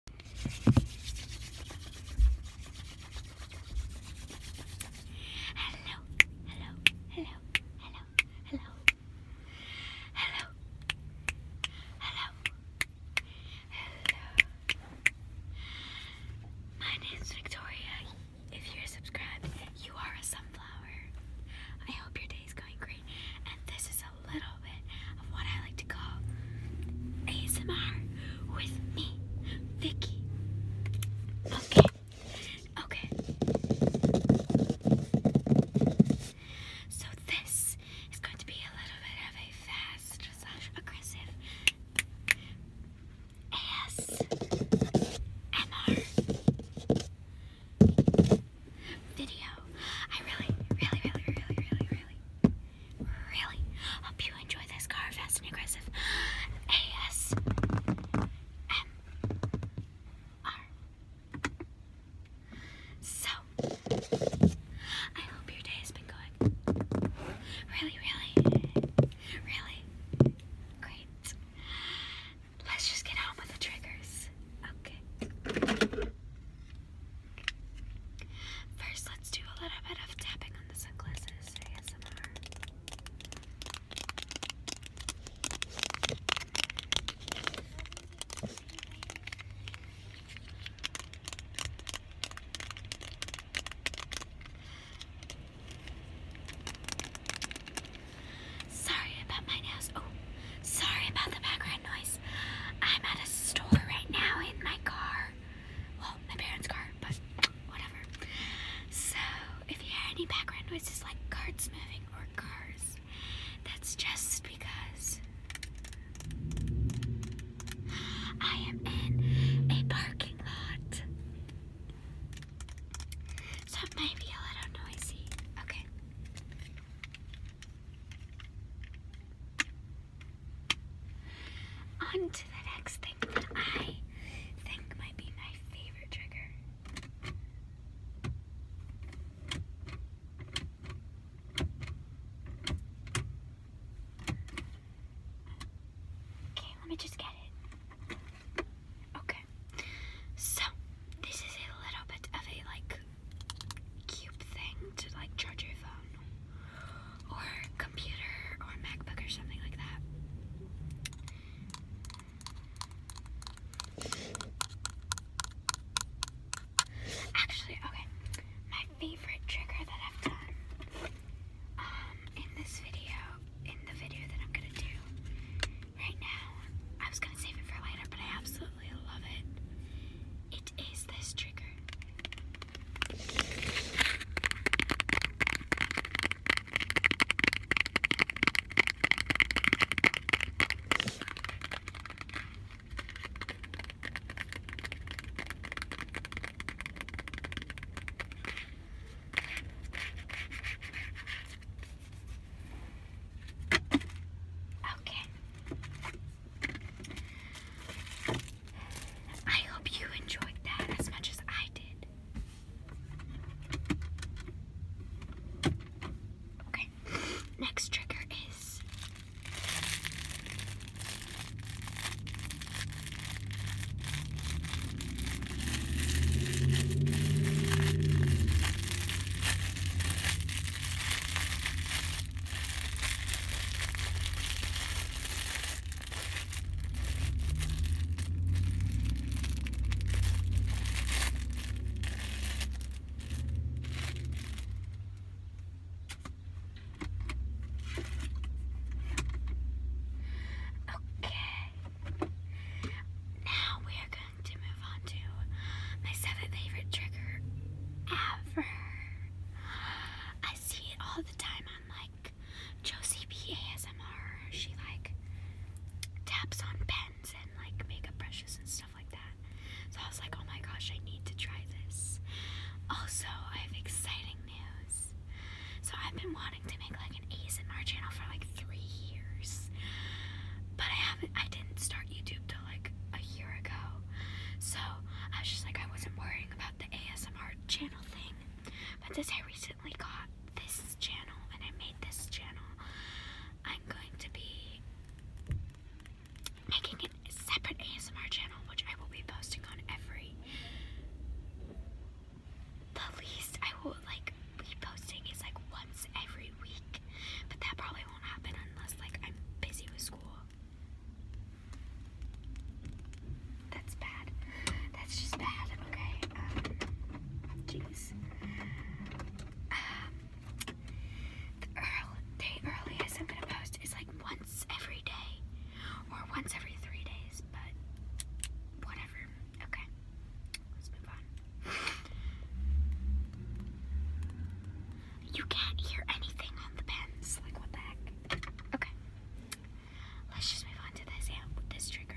Hello, hello, hello, hello, hello, hello, hello, hello. My name's Victoria. If you're subscribed, you are a sunflower. I hope your day is going great, and this is a a little bit of what I like to call ASMR with me, Vicky. Okay, okay. So this is going to be a little bit of a fast slash aggressive ASMR video. I really, really, really, really, really, really Really hope you enjoy this car fast and aggressive AS So I hope your day has been going really, really, really great. Let's just get on with the triggers. Okay. First, let's do a little bit of tapping on the sunglasses ASMR. Sorry about my nails. Oh, sorry about the background noise. I'm at a store right now in my car. Well, my parents' car, but whatever. So if you hear any background noises like carts moving or cars, that's just because I am in a parking lot. So it might be a little noisy. Okay. On to the next thing that I think might be my favorite trigger. Okay, let me just get it. Okay, so this is a little bit of a like cube thing to like charge your phone or computer or MacBook or something like that. Actually, okay, my favorite trigger that I've done um, in this video, in the video that I'm gonna do right now, I was gonna save it for later, but I absolutely absolutely love it. It is this trigger. Okay. I hope you enjoyed that as much as I did. Okay, next trigger is Okay. Now we are to move on to my seventh favorite trigger ever. I see it all the time on like Josie B She like taps on pens and like makeup brushes and stuff like that. So I was like, oh my gosh, I need to try this. Also, I have exciting news. So I've been wanting to make like an ASMR channel for like three years. But I haven't I didn't start YouTube like a year ago. So I was just like, I wasn't worrying about the ASMR channel thing. But since I recently got this channel and I made this channel, I'm going to be making a separate ASMR channel, which I will be posting on every. The least I will like be posting is like once every but that probably won't happen unless like I'm busy with school. That's bad. That's just bad. Okay. Um, jeez. Um, the earliest I'm gonna post is like once every day, or once every three days, but whatever. Okay. Let's move on. You can't hear anything on the pens. Like, what the heck? Okay. Let's just move on to this amp with this trigger